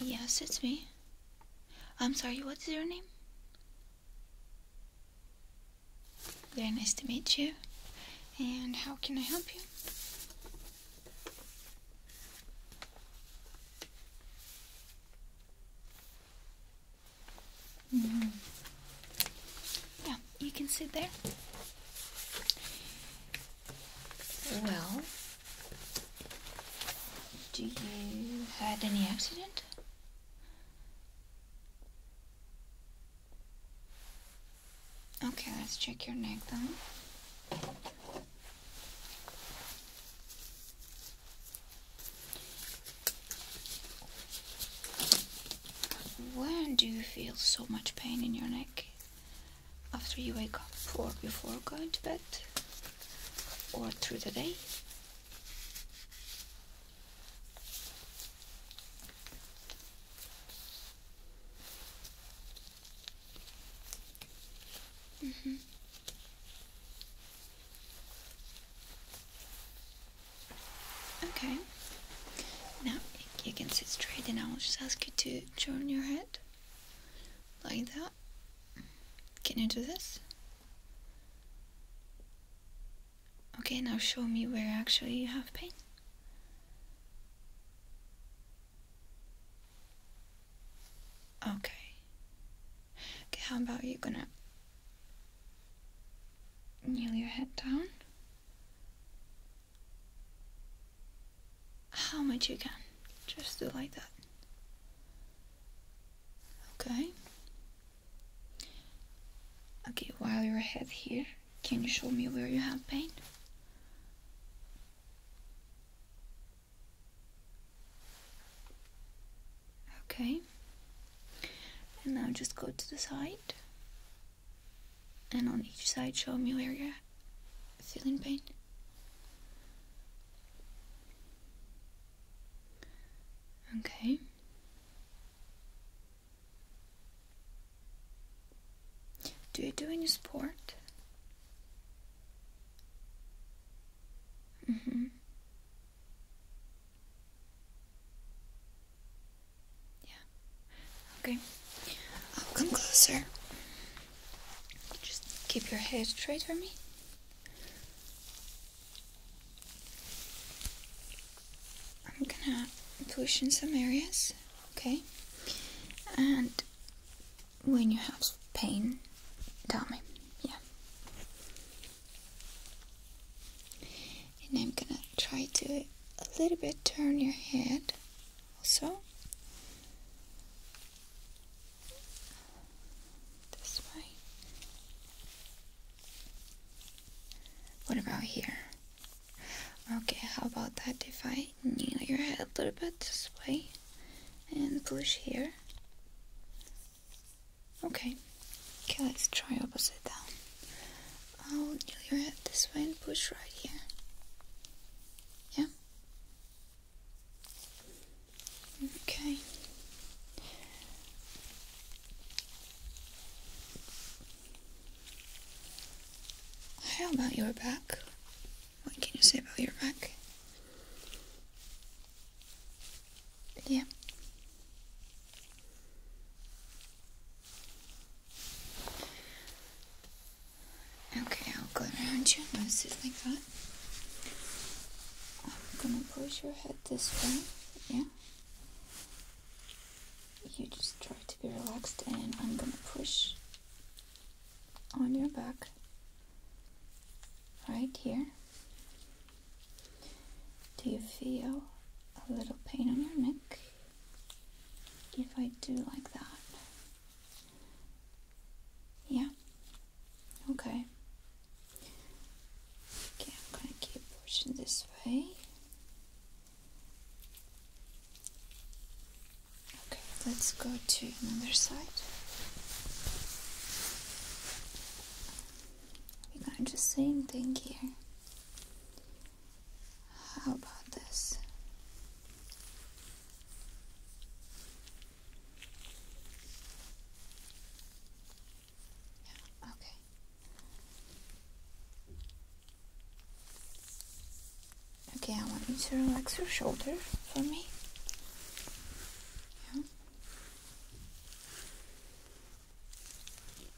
Yes, it's me. I'm sorry, what is your name? Very nice to meet you. And how can I help you? Mm-hmm. Yeah, you can sit there. Well, do you had any accident? Okay, let's check your neck then. When do you feel so much pain in your neck? after you wake up or before going to bed or through the day. Mm-hmm. Okay. Now you can sit straight and I will just ask you to turn your head like that can you do this? Okay, now show me where actually you have pain. Okay. Okay, how about you gonna kneel your head down? how much you can. Just do like that. Okay. Okay, while your head here, can you show me where you have pain? Okay. And now just go to the side. And on each side, show me where you're feeling pain. Okay. Do you do any sport? Mm hmm Yeah. Okay. I'll come closer. Just keep your head straight for me. I'm gonna push in some areas, okay? And when you have pain, tell me, yeah. And I'm gonna try to a little bit turn your head also. This way. What about here? Okay, how about that if I kneel your head a little bit this way and push here? Okay. Okay, let's try opposite down. I'll kneel your head this way and push right here. Yeah? Okay. How about your back? What can you say about your back? Yeah. Okay, I'll go around you and sit like that. I'm gonna push your head this way, yeah? You just try to be relaxed, and I'm gonna push on your back right here. Do you feel a little pain on your neck? If I do like that, yeah. Okay. Okay, I'm gonna keep pushing this way. Okay, let's go to another side. We're gonna do the same thing here. How about this? okay. Okay, I want you to relax your shoulders for me.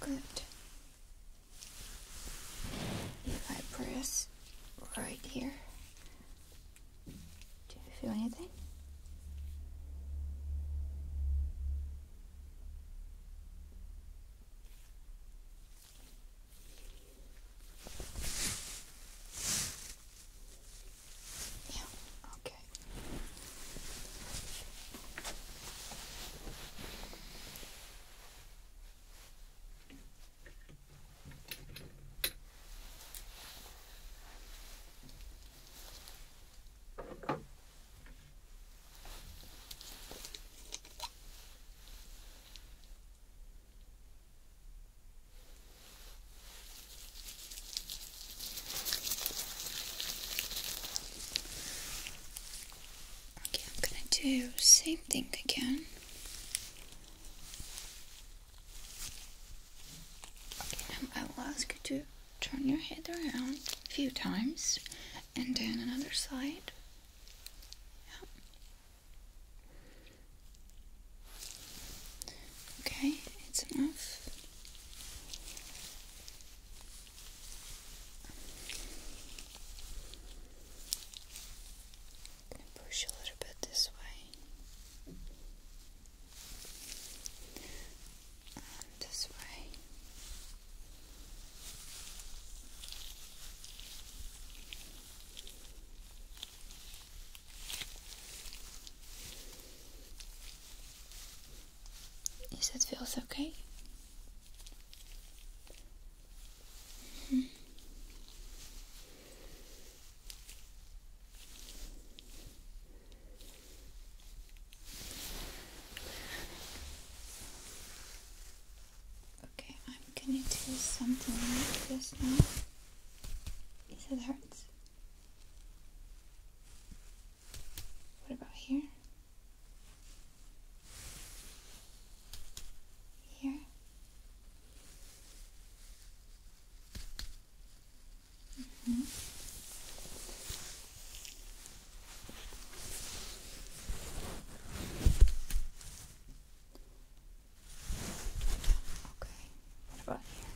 Good. If I press right here, do you feel anything? Yeah, okay. Okay, I'm gonna do same thing again. I will um, ask you to turn your head around a few times and then another side. Okay, it's enough. push a little bit this way this way. Is that feels okay? Okay, I'm gonna do something like now. Is hurts? What about here? Here? Mm -hmm. Okay, what about here?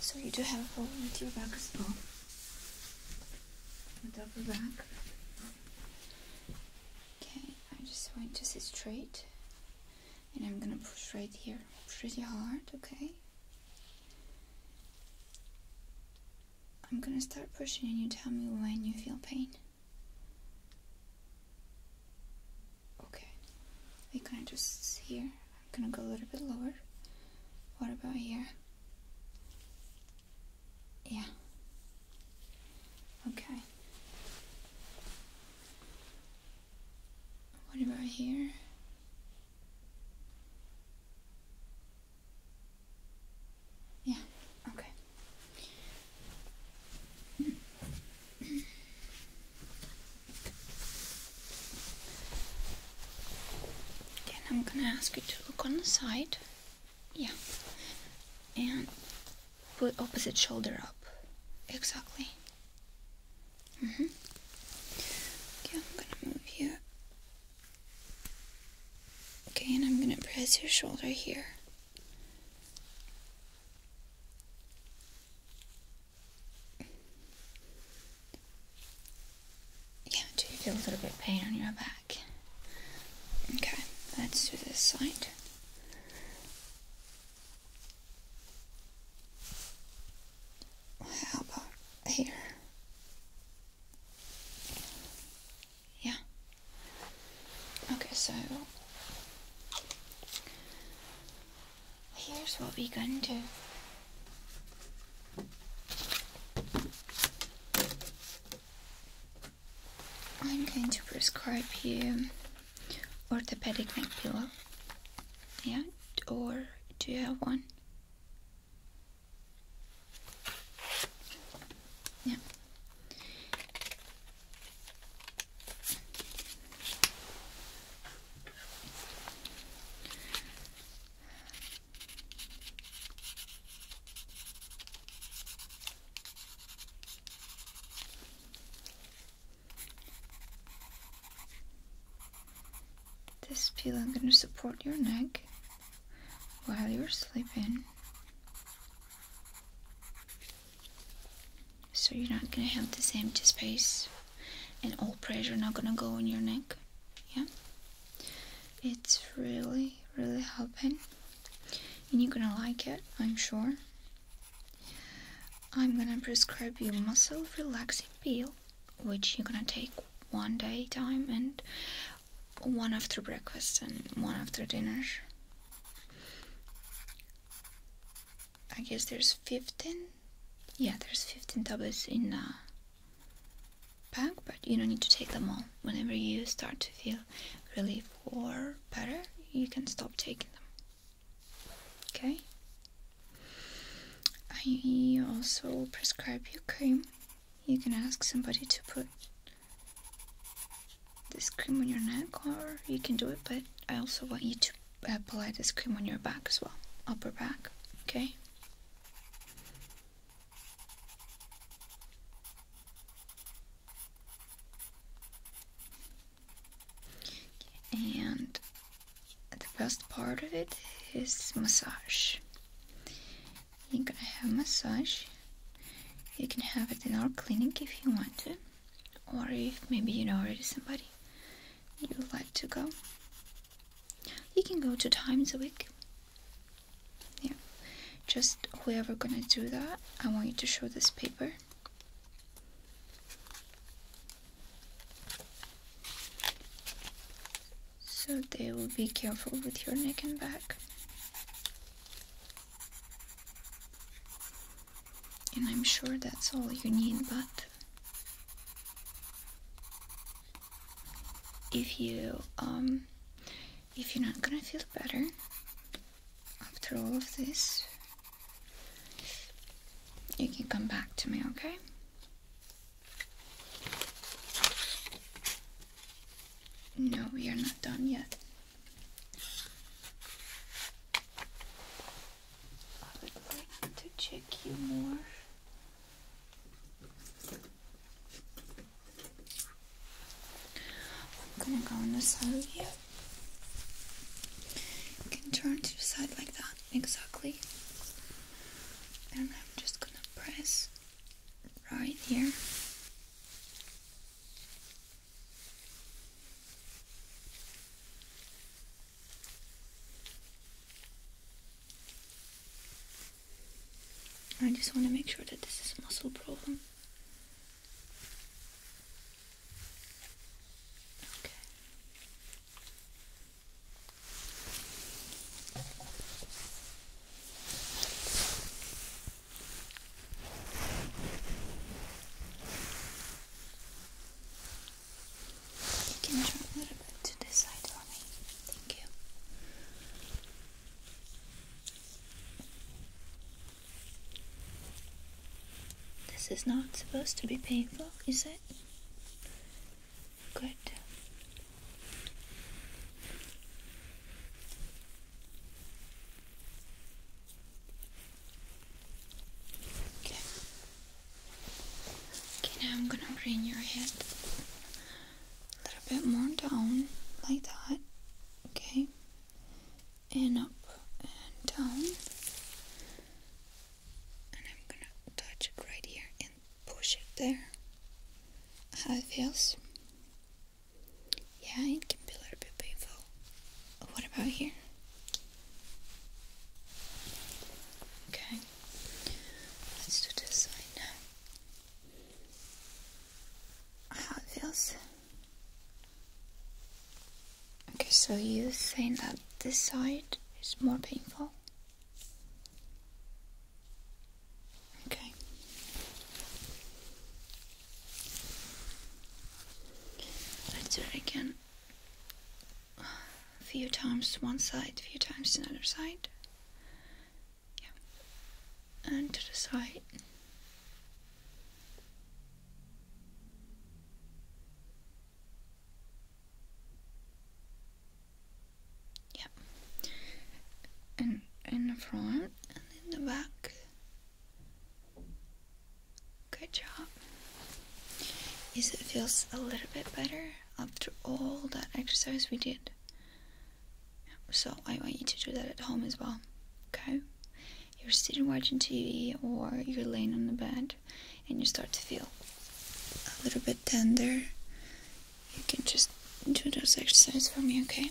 So you do have a hole at your back as well. The double back. Okay, I am just going to sit straight. And I'm gonna push right here pretty hard, okay? I'm gonna start pushing and you tell me when you feel pain. Okay, we can just here. I'm gonna go a little bit lower. What about here? Yeah. Okay. What about here? Yeah, okay. Then I'm gonna ask you to look on the side. Yeah. And put opposite shoulder up. Exactly. Mm hmm Okay, I'm gonna move you. Okay, and I'm gonna press your shoulder here. Yeah, do you feel a little bit of pain on your back? Okay, let's do this side. How about here? Yeah. Okay, so here's what we're gonna do. I'm going to prescribe you orthopedic neck pillow. Yeah, or do you have one? Yeah. This pillow i going to support your neck while you're sleeping. So you're not going to have the same space and all pressure not gonna go in your neck yeah it's really really helping and you're gonna like it i'm sure i'm gonna prescribe you muscle relaxing pill, which you're gonna take one day time and one after breakfast and one after dinner I guess there's 15. Yeah, there's 15 tablets in a pack, but you don't need to take them all. Whenever you start to feel really or better, you can stop taking them. Okay? I also prescribe you cream. You can ask somebody to put this cream on your neck, or you can do it, but I also want you to apply this cream on your back as well, upper back, okay? And the best part of it is massage. You're gonna have massage. You can have it in our clinic if you want to, or if maybe you know already somebody you like to go. You can go two times a week. Yeah. Just whoever gonna do that, I want you to show this paper. So they will be careful with your neck and back. And I'm sure that's all you need, but if you um, if you're not gonna feel better after all of this you can come back to me okay no we are not done yet I would like to check you more. I'm gonna go on the side of you. You can turn to the side like that, exactly. And I'm just gonna press right here. I just want to make sure that this is muscle problem. Okay. You can turn a little bit to this side for me. Thank you. This is not supposed to be painful, is it? Good. Okay. Okay, now I'm gonna bring your head a little bit more down, like that. Okay, and up and down, and I'm gonna touch it right here and push it there. How it feels? Yeah, it can be a little bit painful. What about here? Okay. Let's do this side now. How it feels? Okay, so you think that this side is more painful? Okay. Let's do it again a few times one side, a few times another side. Yeah. And to the side. Yeah. And in the front and in the back. Good job. Yes, it feels a little bit better after all that exercise we did. So I want you to do that at home as well. Okay? You're sitting watching TV or you're laying on the bed and you start to feel a little bit tender. You can just do those exercises for me, okay?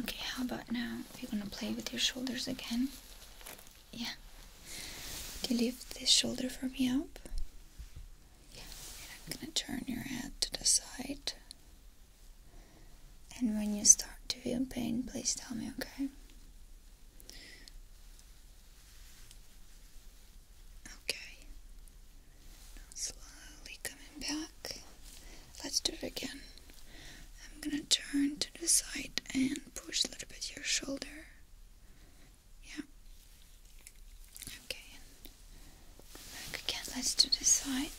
Okay, how about now? You're gonna play with your shoulders again. Yeah. you lift this shoulder for me up? Yeah. And I'm gonna turn your head to the side. And when you start to feel pain, please tell me, okay? Okay. Now slowly coming back. Let's do it again. I'm gonna turn to the side and push a little bit your shoulder. Yeah. Okay. back again. Let's do the side.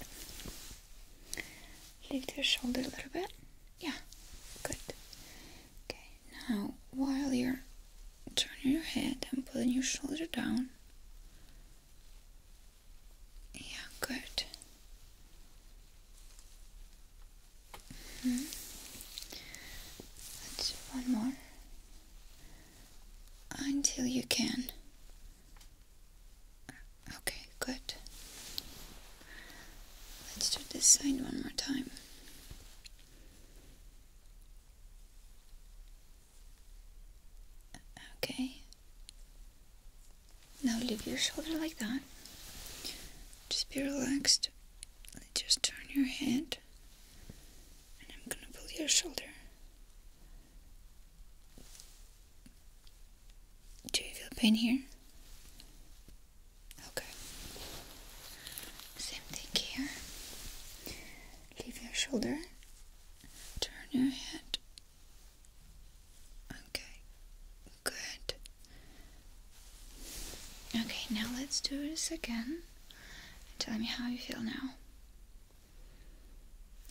Lift your shoulder a little bit. Yeah. Good. Okay. Now, while you're turning your head and putting your shoulder down, yeah, good. Mm-hmm. Let's one more until you can. Okay, good. Let's do this side one more time. Okay. Now leave your shoulder like that. Just be relaxed. Just turn your head. And I'm gonna pull your shoulder. Do you feel pain here? Okay. Same thing here. Leave your shoulder. Turn your head. Okay, good. Okay, now let's do this again. Tell me how you feel now.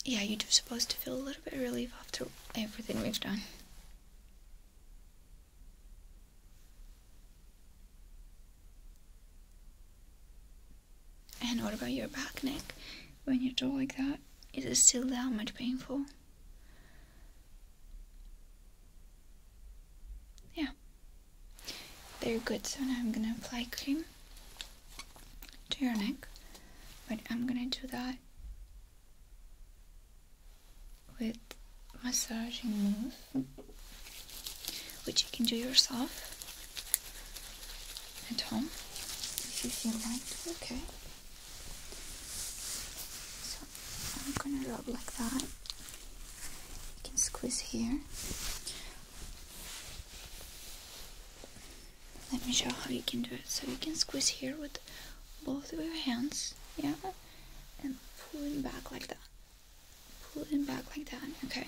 Yeah, you're supposed to feel a little bit of relief after everything we've done. And what about your back, neck? When you draw like that, is it still that much painful? Yeah, they're good. So now I'm gonna apply cream to your neck, but I'm gonna do that with massaging move, which you can do yourself at home if you feel like. Okay. So I'm gonna rub like that. You can squeeze here. Let me show how you can do it. So you can squeeze here with both of your hands, yeah, and pulling back like that. Pulling back like that, okay.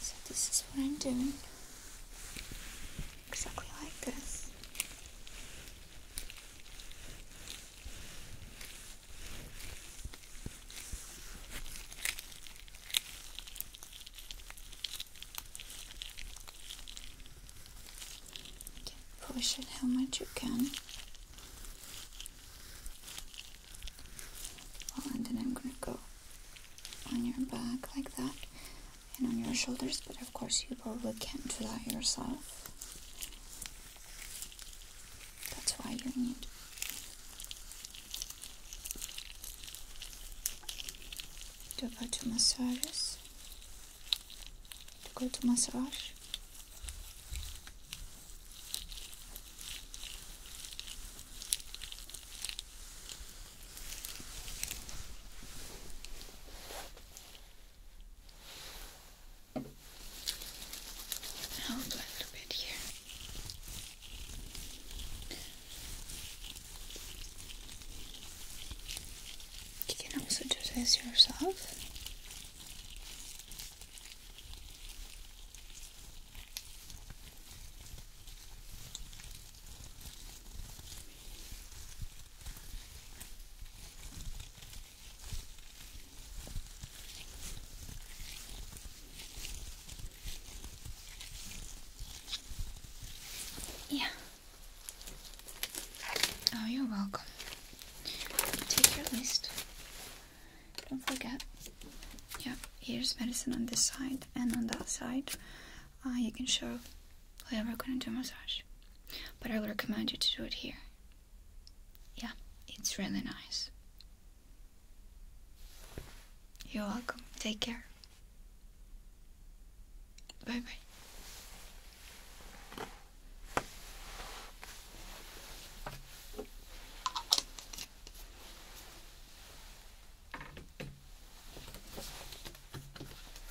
So this is what I'm doing. Exactly like this. Push it how much you can. and then I'm gonna go on your back like that and on your shoulders, but of course you probably can't do that yourself. That's why you need to go to massages, to go to massage i a little bit here. You can also do this yourself. Yeah. Oh, you're welcome. Take your list. Don't forget. Yep. here's medicine on this side and on that side uh, you can show whoever gonna do massage. But I would recommend you to do it here. Yeah, it's really nice. You're welcome. Take care. Bye bye.